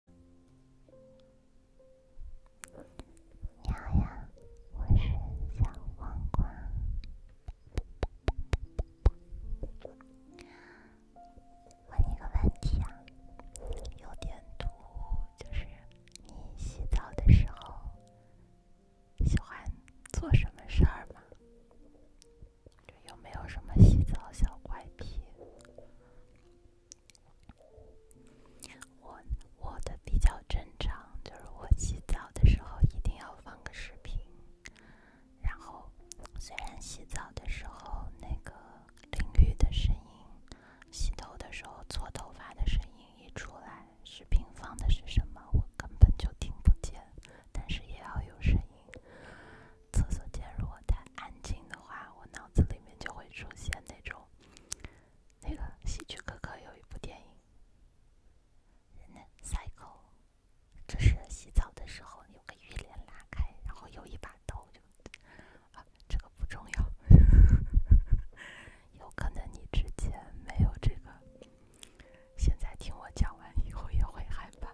你好呀，我是小黄瓜。问你个问题啊，有点土，就是你洗澡的时候喜欢做什么事儿吗？有没有什么洗澡小怪癖？我我的比较正常，就是我洗澡的时候一定要放个视频，然后虽然洗澡的时候那个淋浴的声音、洗头的时候搓头发的声音一出来，视频放的是什么我根本就听不见，但是也要有声音。厕所间如果太安静的话，我脑子里面就会出现那种，那个喜剧哥哥有一部电影，那塞口，就是洗澡的时候有个浴帘拉开，然后有一把刀，就啊，这个不重要，有可能你之前没有这个，现在听我讲完以后也会害怕，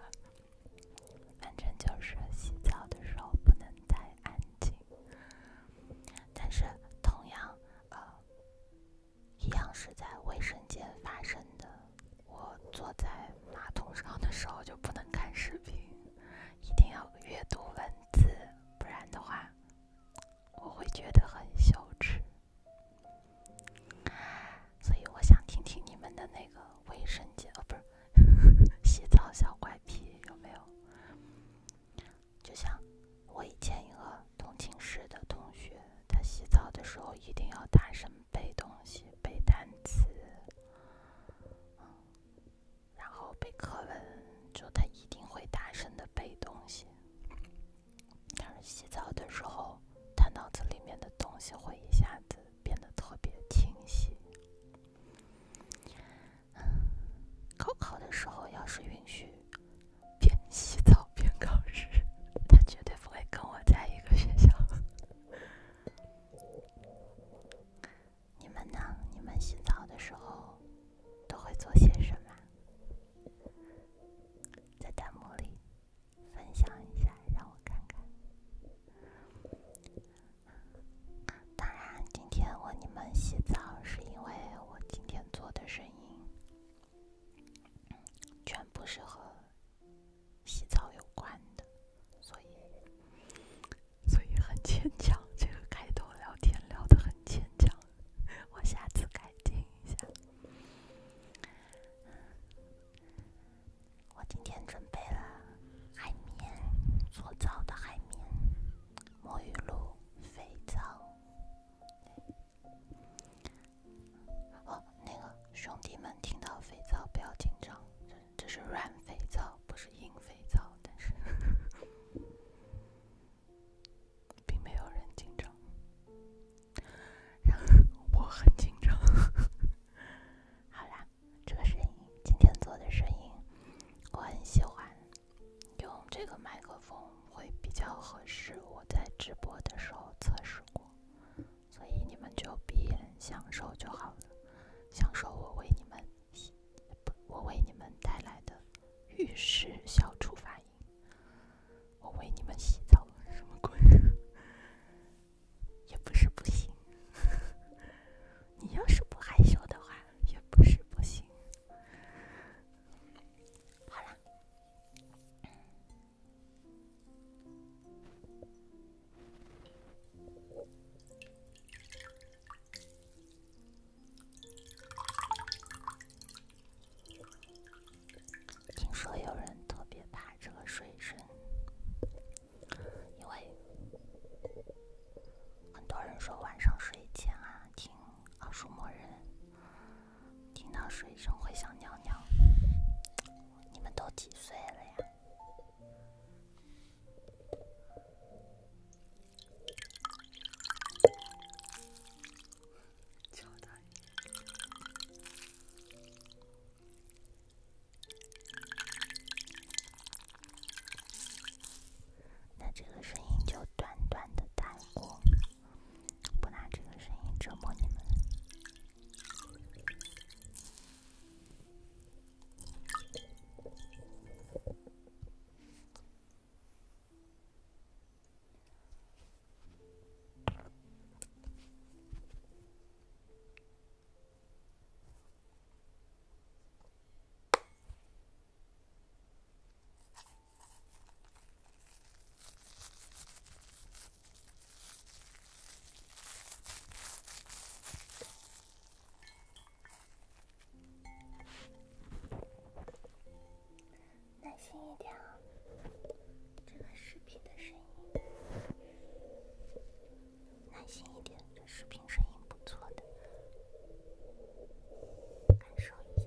反正就是洗澡的时候不能带。安静，但是同样，呃，一样是在卫生间发生的。我坐在马桶上的时候就不能看视频，一定要阅读文字，不然的话，我会觉得很羞耻。所以我想听听你们的那个卫生间，呃，不是。洗澡小怪癖有没有？就像我以前一个同寝室的同学，他洗澡的时候一定要大声背东西、背单词，然后背课文，就他一定会大声的背东西。但是洗澡的时候，他脑子里面的东西会一下子变得特别清晰。高考的时候，要是允许边洗澡边考试，他绝对不会跟我在一个学校。你们呢？你们洗澡的时候都会做些什么？在弹幕里分享一下，让我看看。当然，今天问你们洗澡，是因为我今天做的声音全部是和洗澡有关的，所以，所以很牵强。这个开头聊天聊的很牵强，我下次改进一下。我今天准备了海绵，搓澡的海绵，沐浴露，肥皂。哦，那个兄弟们听到肥皂不要紧张，这是软肥皂，不是硬肥皂，但是 并没有人紧张。然后我很紧张。好啦。这个声音，今天做的声音，我很喜欢。用这个麦克风会比较合适。我在直播的时候测试过，所以你们就闭眼享受就好了。享受我为你们洗，我为你们带来的浴室消除发音。我为你们洗澡，什么鬼？也不是不行，你要是不害羞的话，也不是不行。好了，听说有人特别怕这个水声。因为很多人说晚上睡前啊，听奥数魔人，听到水声会想尿尿。你们都几岁了呀？乔丹。那这个声音就短短的弹过，不拿这个声音折磨你们。耐心一点啊，这个视频的声音。耐心一点，这视频声音不错的，感受一下。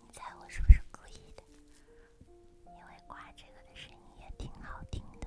你猜我是不是故意的？因为挂这个的声音也挺好听的。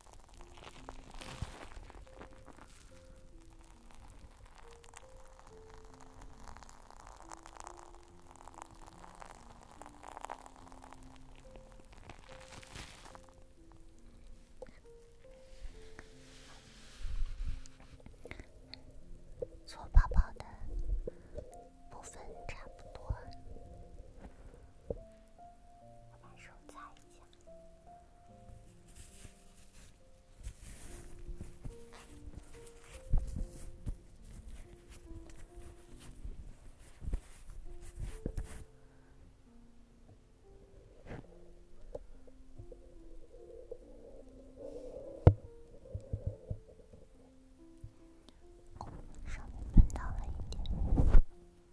做泡泡的部分差不多。我把手擦一下，上面碰到了一点。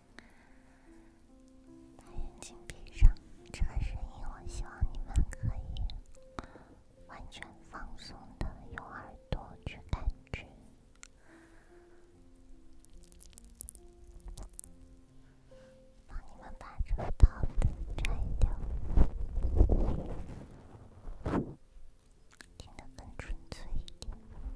把眼睛闭上，这个声音我希望你们可以完全放松的用耳朵去感知。帮你们把这个套子摘掉，听得更纯粹一点。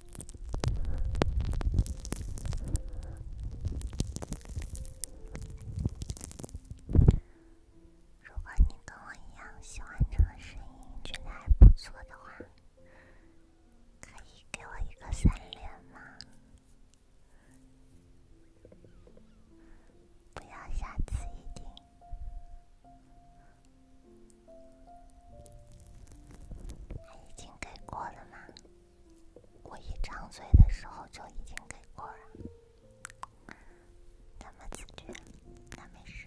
如果你跟我一样喜欢这个声音，觉得还不错的话，可以给我一个三连吗？不要下次一定，已经给过了吗？我一张嘴的时候就已经给过了，咱么自觉，那没事。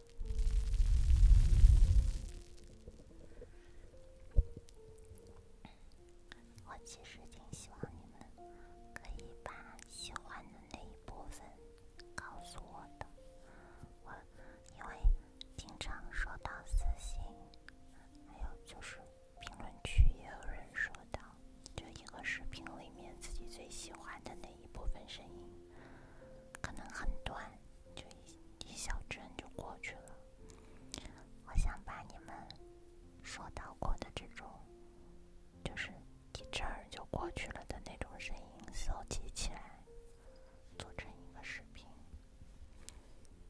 我其实挺希望你们可以把喜欢的那一部分告诉我的，我因为经常收到私信，还有就是评论区也有人说到，就一个视频里面自己最喜欢的那一部分声音，可能很短，就一。一小阵就过去了，我想把你们说到过的这种，就是一阵儿就过去了的那种声音收集起来，做成一个视频，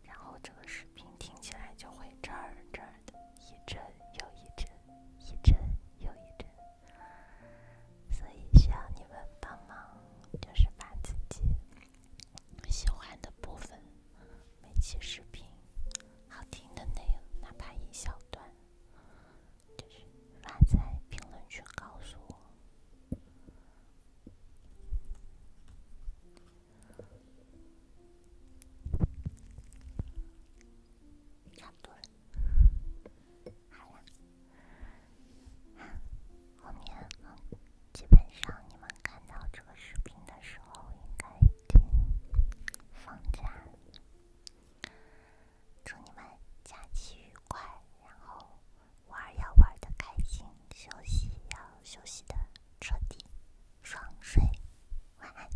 然后这个视频听起来就会这儿这儿的一阵又一阵，一阵又一阵。所以需要你们帮忙，就是把自己喜欢的部分、每期视频、好听的内容，哪怕一小段，就是发在评论区告诉我。差不多了。好啦，后面基本上你们看到这个视频的时候，应该放假了。祝你们假期愉快，然后玩要玩的开心，休息要休息的彻底，爽睡，晚安。